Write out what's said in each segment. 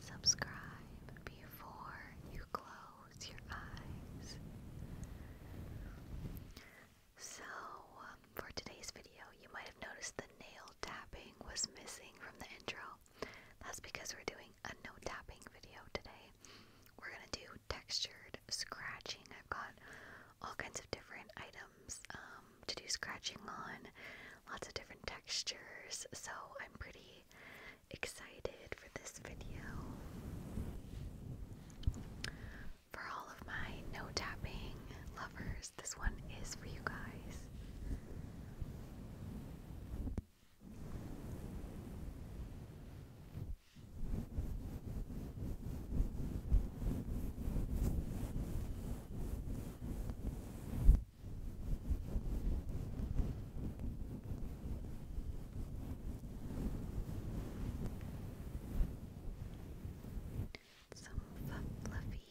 Subscribe before you close your eyes. So, um, for today's video, you might have noticed the nail tapping was missing from the intro. That's because we're doing a no tapping video today. We're gonna do textured scratching. I've got all kinds of different items um, to do scratching on, lots of different textures. So I'm pretty excited for this video. For all of my no tapping lovers, this one is for you guys. Some fluffy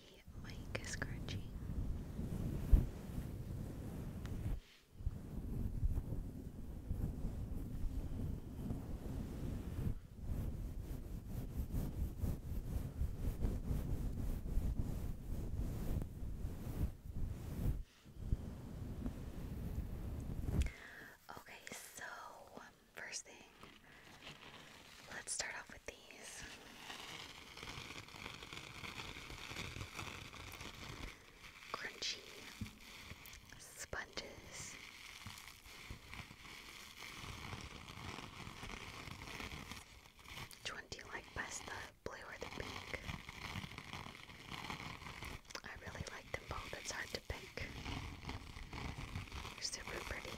mic scratching. Okay, so um, first thing, let's start off with these. Crunchy sponges. Which one do you like best, the blue or the pink? I really like them both, it's hard to pick. super pretty.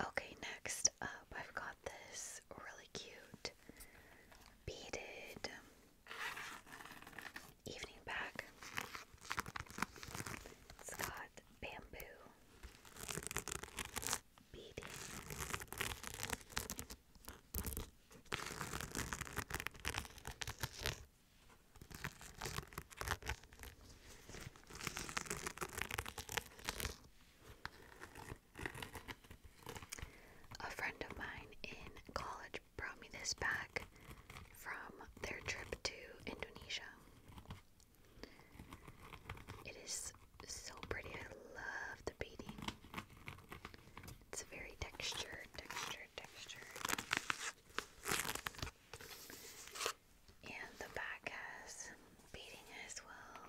Okay, next up, I've got this really cute beaded evening bag. It's got bamboo beading. A friend of mine in college brought me this back from their trip to Indonesia. It is so pretty. I love the beading. It's very texture, texture, texture, And the back has beading as well.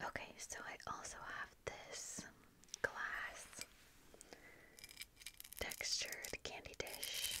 Okay, so I also have this glass textured candy dish.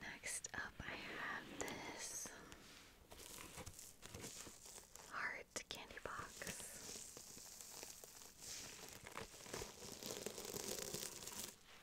Next up, I have this heart candy box.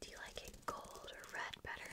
Do you like it gold or red better?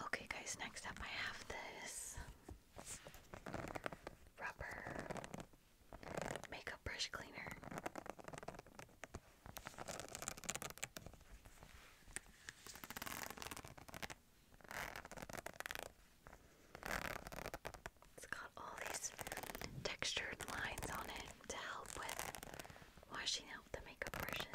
Okay, guys, next up I have this rubber makeup brush cleaner. It's got all these textured lines on it to help with washing out the makeup brushes.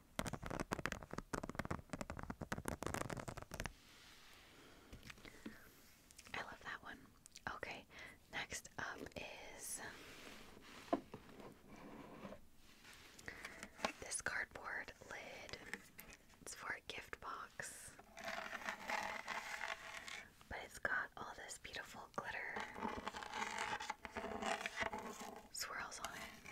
I love that one. Okay, next up is this cardboard lid. It's for a gift box, but it's got all this beautiful glitter swirls on it.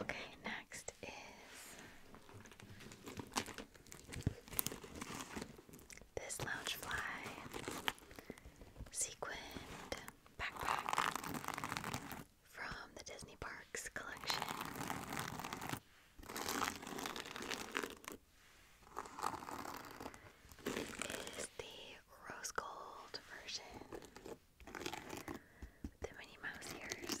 Okay, next is this loungefly sequined backpack from the Disney Parks collection. It is the rose gold version. The Minnie Mouse ears.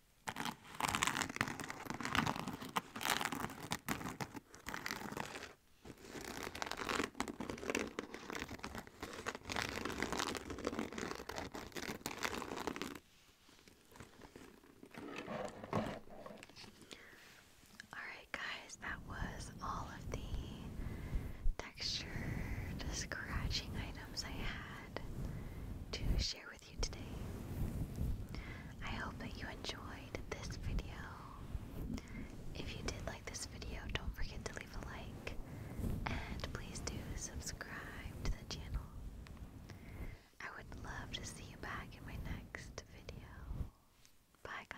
Alright, guys, that was all of the texture, scratching items I had to share with I hope that you enjoyed this video. If you did like this video, don't forget to leave a like and please do subscribe to the channel. I would love to see you back in my next video. Bye, guys.